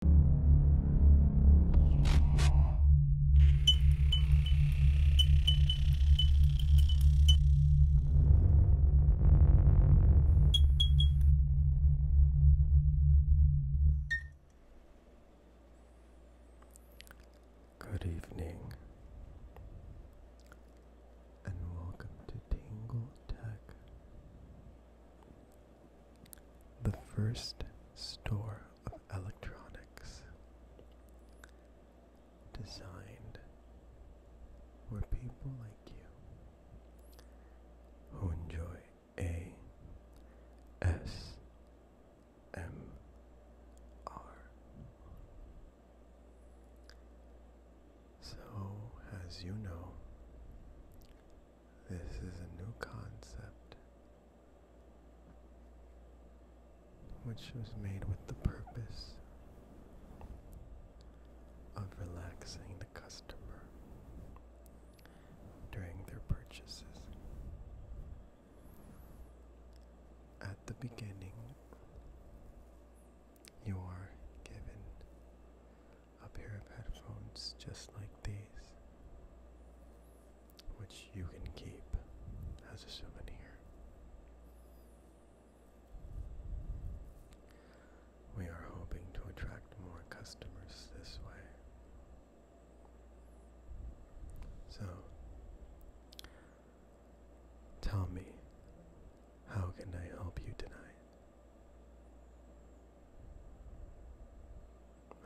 Good evening, and welcome to Tingle Tech the first store of electronics designed for people like you who enjoy a s m r so as you know this is a new concept which was made with the purpose of relaxing the customer during their purchases. At the beginning, you are given a pair of headphones just like these, which you can keep as a souvenir. We are hoping to attract more customers this way. So, tell me, how can I help you tonight?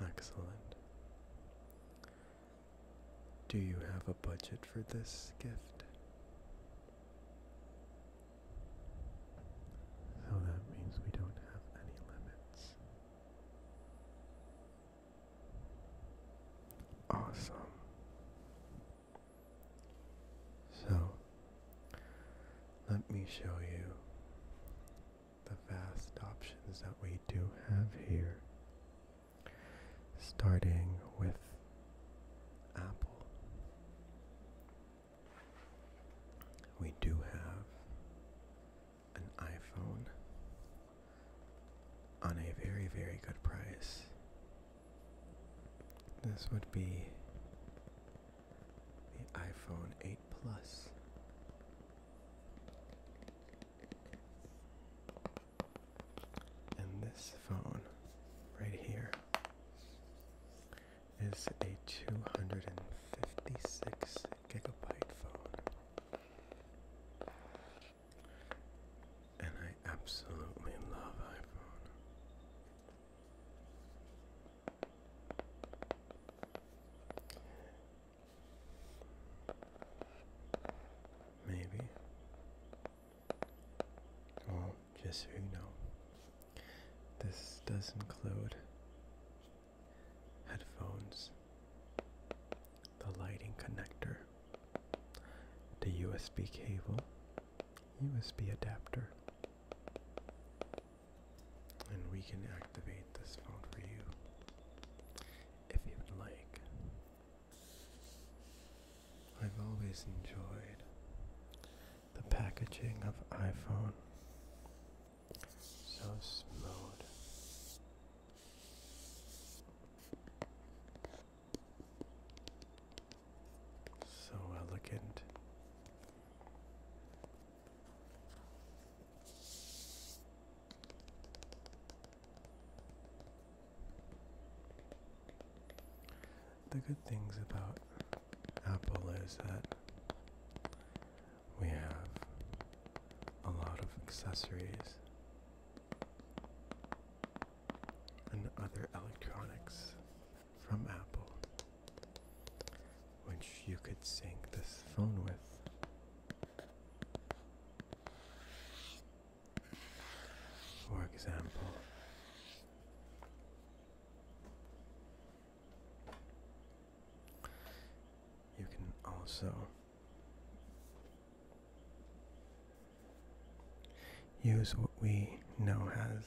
Excellent. Do you have a budget for this gift? So that means we don't have any limits. Awesome. So, let me show you the vast options that we do have here, starting with Apple. We do have an iPhone on a very, very good price. This would be the iPhone 8 And this phone right here is a 256 gigabyte phone. And I absolutely love iPhone. Maybe. Well, just so you know, this does include headphones, the lighting connector, the USB cable, USB adapter, and we can activate this phone for you if you would like. I've always enjoyed the packaging of iPhone. So smooth. So elegant the good things about Apple is that we have a lot of accessories and other electronics from Apple, which you could sync this phone with. For example, you can also use what we know as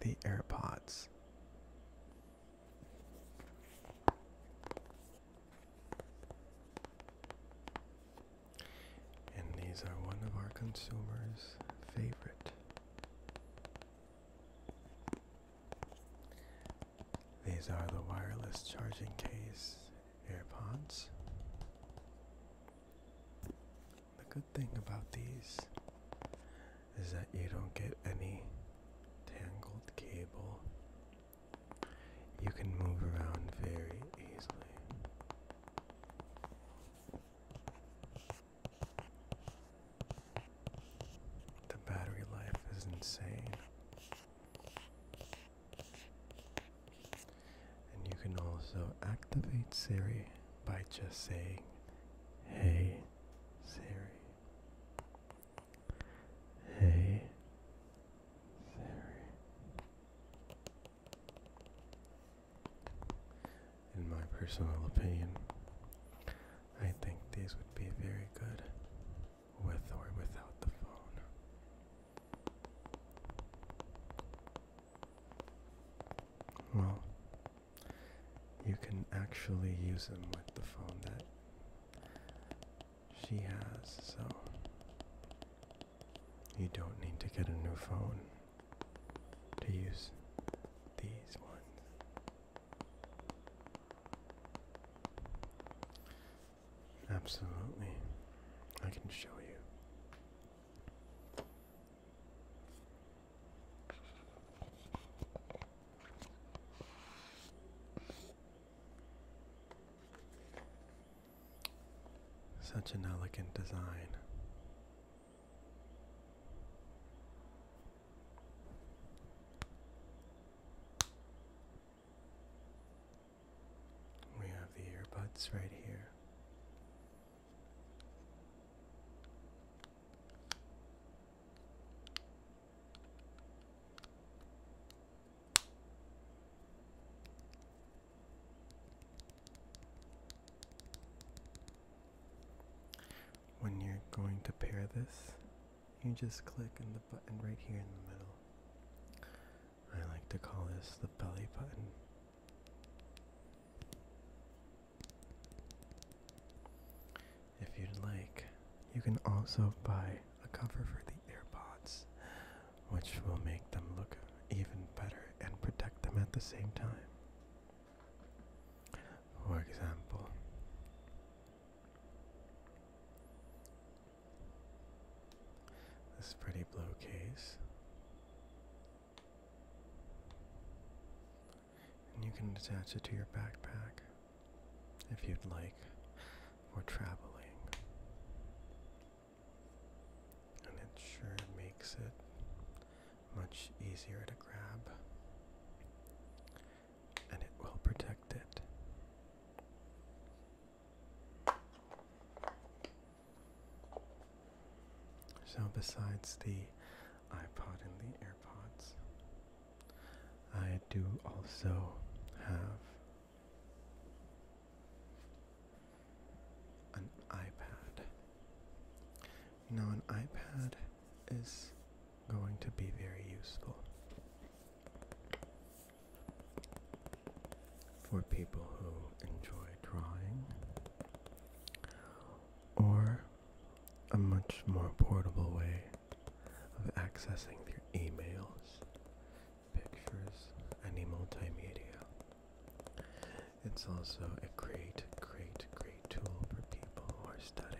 the AirPods. And these are one of our consumers' favorite. These are the wireless charging case AirPods. The good thing about these is that you don't get any tangled cable. You can move around very easily. The battery life is insane. And you can also activate Siri by just saying, Hey Siri. Hey Siri. In my personal opinion, I think these would be very good with or without the phone. Well, you can actually use them with the phone that she has, so you don't need to get a new phone to use these ones. Absolutely, I can show you. Such an elegant design. We have the earbuds right here. When you're going to pair this, you just click on the button right here in the middle. I like to call this the belly button. If you'd like, you can also buy a cover for the AirPods, which will make them look even better and protect them at the same time. For example, this pretty blue case and you can attach it to your backpack if you'd like for traveling. And it sure makes it much easier to grab. And it will protect it. So, besides the iPod and the AirPods, I do also have an iPad. Now, an iPad is going to be very useful for people who enjoy drawing, or a much more portable way of accessing their emails, pictures, any multimedia. It's also a great, great, great tool for people who are studying.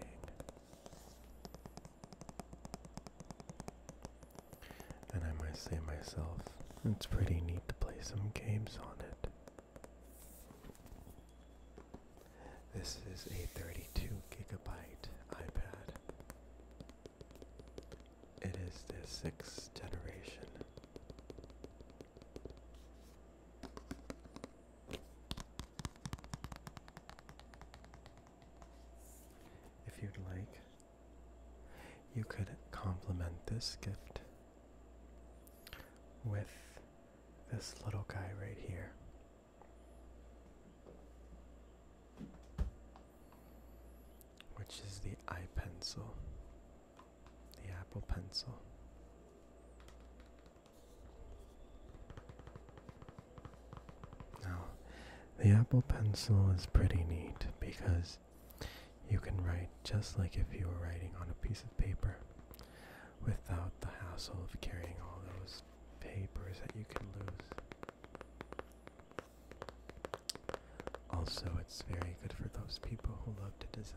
And I might say myself, it's pretty neat to play some games on it. This is a 32 gigabyte iPad. It is the sixth generation. If you'd like, you could complement this gift with this little guy right here. Which is the eye the Apple pencil. Now, the Apple pencil is pretty neat because you can write just like if you were writing on a piece of paper without the hassle of carrying all those papers that you can lose. Also, it's very good for those people who love to design.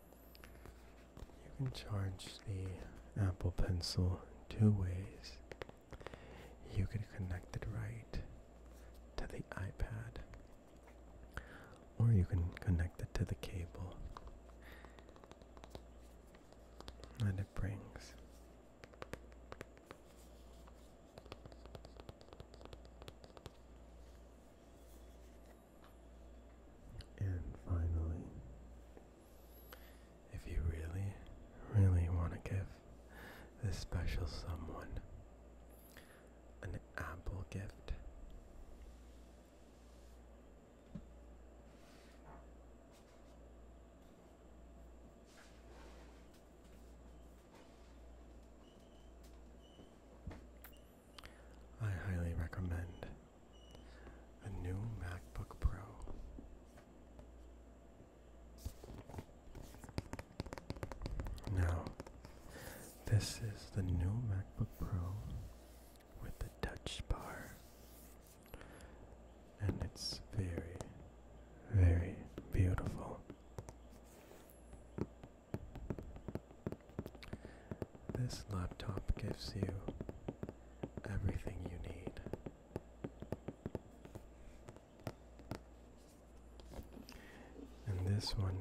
You can charge the Apple Pencil two ways. You can connect it right to the iPad, or you can connect it to the cable that it brings. And finally, if you really, really want to give this special someone an apple gift, I highly recommend a new MacBook Pro. Now, this is the new MacBook Pro with the touch bar, and it's very, very beautiful. This laptop gives you everything you need. And this one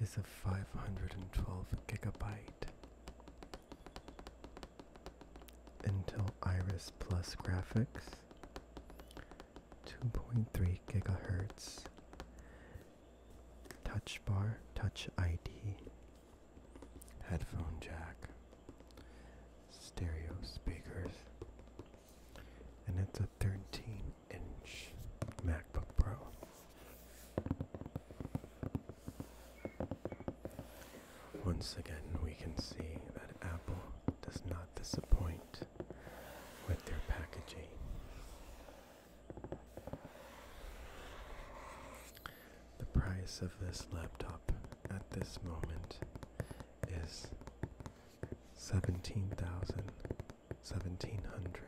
is a 512 gigabyte Intel Iris Plus graphics, 2.3 gigahertz, touch bar, touch ID, headphone jack, stereo speakers, and it's a 13 inch MacBook Pro. Once again, we can see that Apple does not disappoint with their packaging. The price of this laptop at this moment is seventeen thousand seventeen hundred.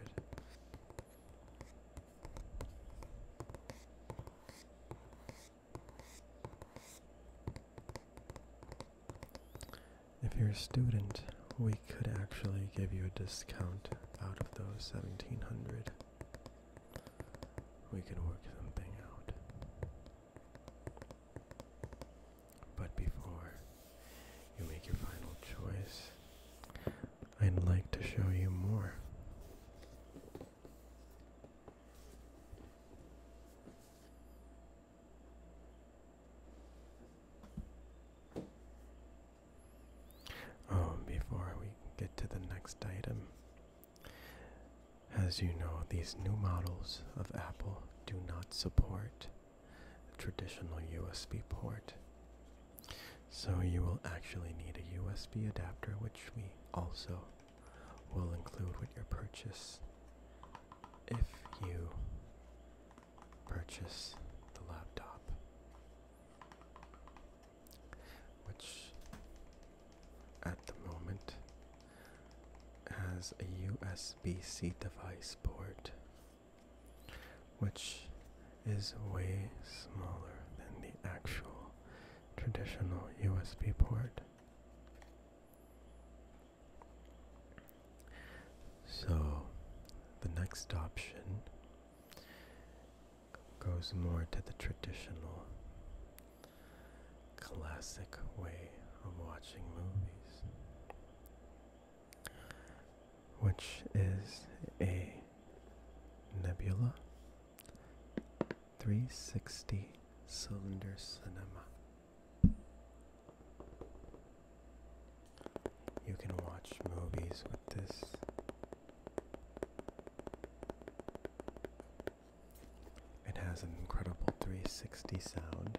If you're a student, we could actually give you a discount out of those 1700. We can work something out. But before you make your final choice, I'd like to show you more. Oh, before we get to the next item, as you know, these new models of Apple do not support the traditional USB port. So you will actually need a USB adapter, which we also will include with your purchase if you purchase the laptop, which at the moment has a USB C device port, which is way smaller than the actual traditional USB port. So the next option goes more to the traditional classic way of watching movies, which is a Nebula 360 cylinder cinema. You can watch movies with this. It has an incredible 360 sound,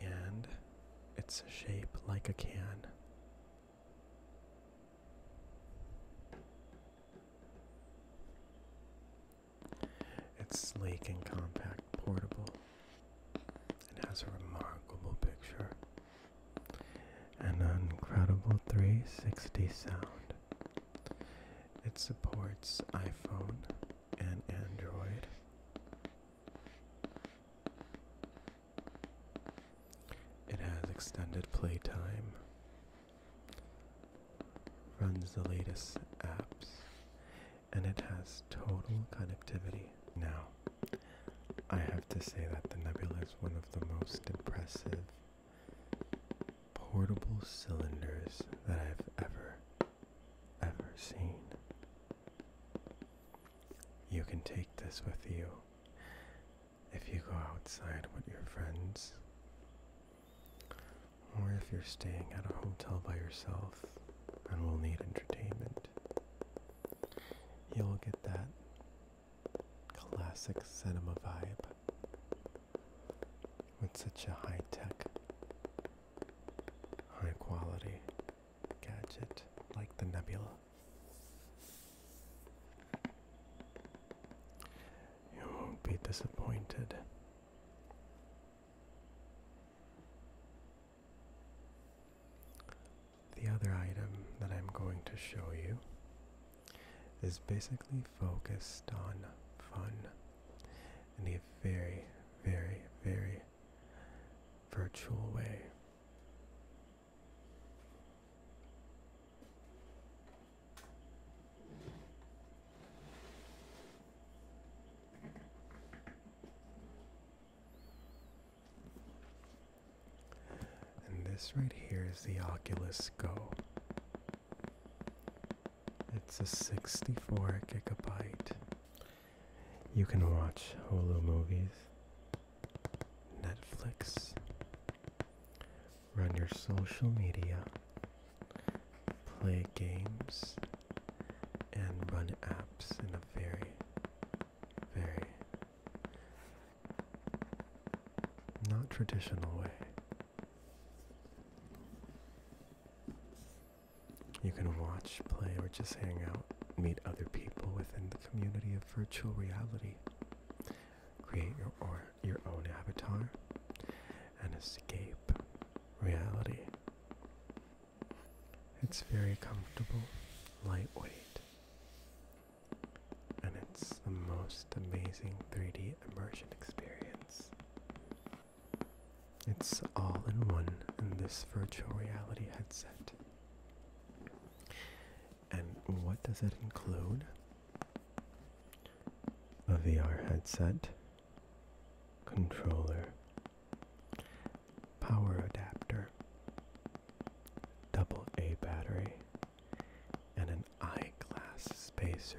and it's a shape like a can. It's sleek and compact, portable. It has a remarkable picture, and an incredible 360 sound. It supports iPhone and Android. It has extended playtime, runs the latest apps, and it has total connectivity. Now, I have to say that the Nebula is one of the most impressive portable cylinders that I've ever, ever seen. You can take this with you if you go outside with your friends, or if you're staying at a hotel by yourself and will need entertainment. You'll get that classic cinema vibe with such a high tech, high quality gadget like the Nebula. You won't be disappointed. The other item that I'm going to show you is basically focused on fun in a very, very, very virtual way. And this right here is the Oculus Go. It's a 64 gigabyte. You can watch Hulu movies, Netflix, run your social media, play games, and run apps in a very, very not traditional way. You can watch, play, or just hang out, meet other people within the community of virtual reality, create your, or your own avatar, and escape reality. It's very comfortable, lightweight, and it's the most amazing 3D immersion experience. It's all in one in this virtual reality headset. And what does it include? A VR headset, controller, power adapter, double A battery, and an eye glass spacer.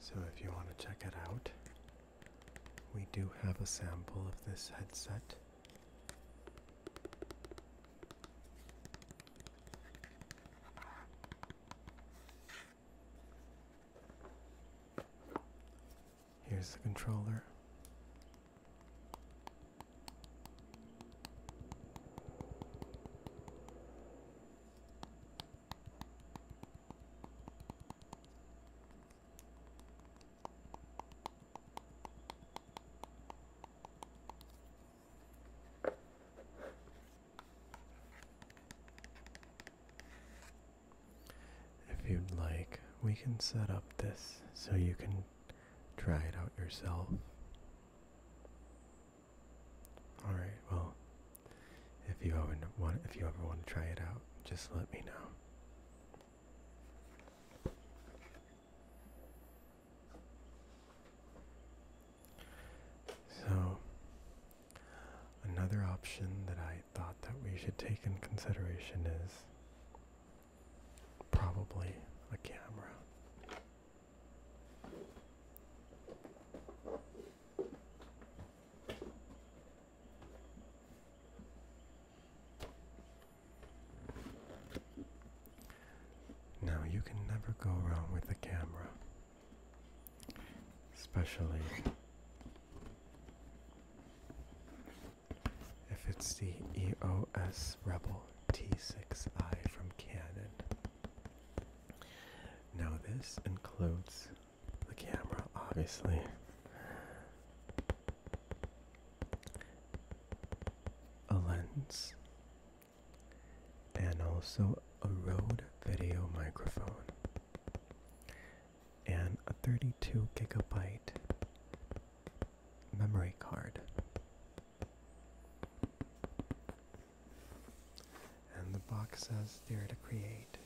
So, if you want to check it out, we do have a sample of this headset. Here's the controller. If you'd like, we can set up this so you can try it out yourself. All right. Well, if you ever want, if you ever want to try it out, just let me know. So, another option that I thought that we should take in consideration is probably a camera. Now you can never go wrong with the camera, especially if it's the EOS Rebel T6i from Canon. Now, this includes the camera, obviously. A lens and also a Rode video microphone and a 32 gigabyte memory card. And the box says there to create.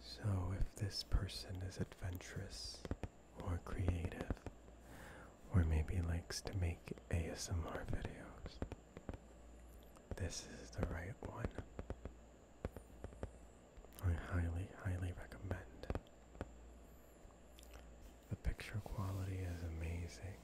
So if this person is adventurous or creative, or maybe likes to make ASMR videos, this is the right one. I highly, highly recommend. The picture quality is amazing.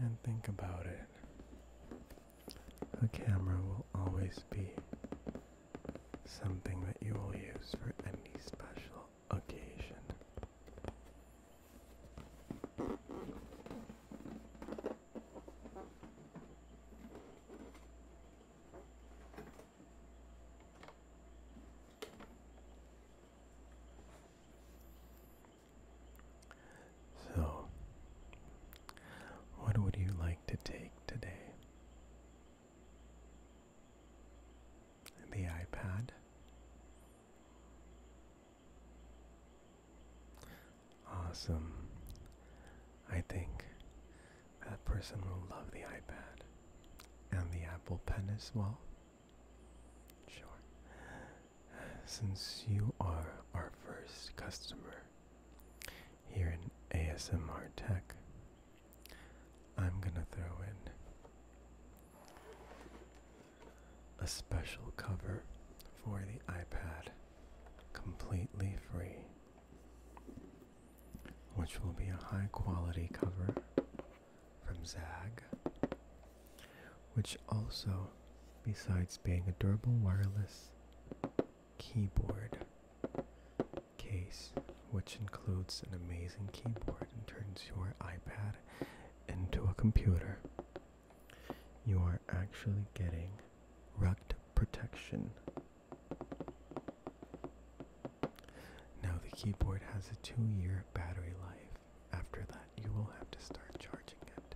And think about it. The camera will always be something that you will use for any special occasion. So, what would you like to take today? The iPad? Awesome. I think that person will love the iPad and the Apple Pen as well. Sure. Since you are our first customer here in ASMR Tech, I'm gonna throw in a special cover for the iPad completely free which will be a high quality cover from Zag, which also, besides being a durable wireless keyboard case, which includes an amazing keyboard and turns your iPad into a computer, you are actually getting rugged protection now the keyboard has a two-year battery life. After that, you will have to start charging it.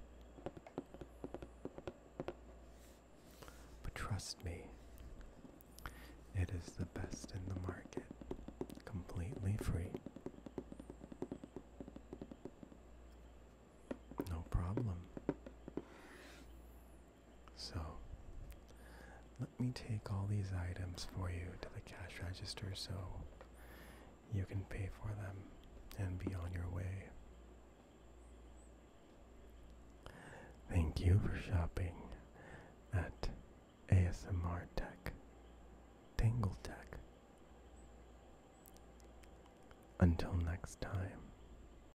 But trust me, it is the best in the market, completely free. No problem. So let me take all these items for you to the cash register so you can pay for them and be on your way. Thank you for shopping at ASMR Tech, Tangle Tech. Until next time,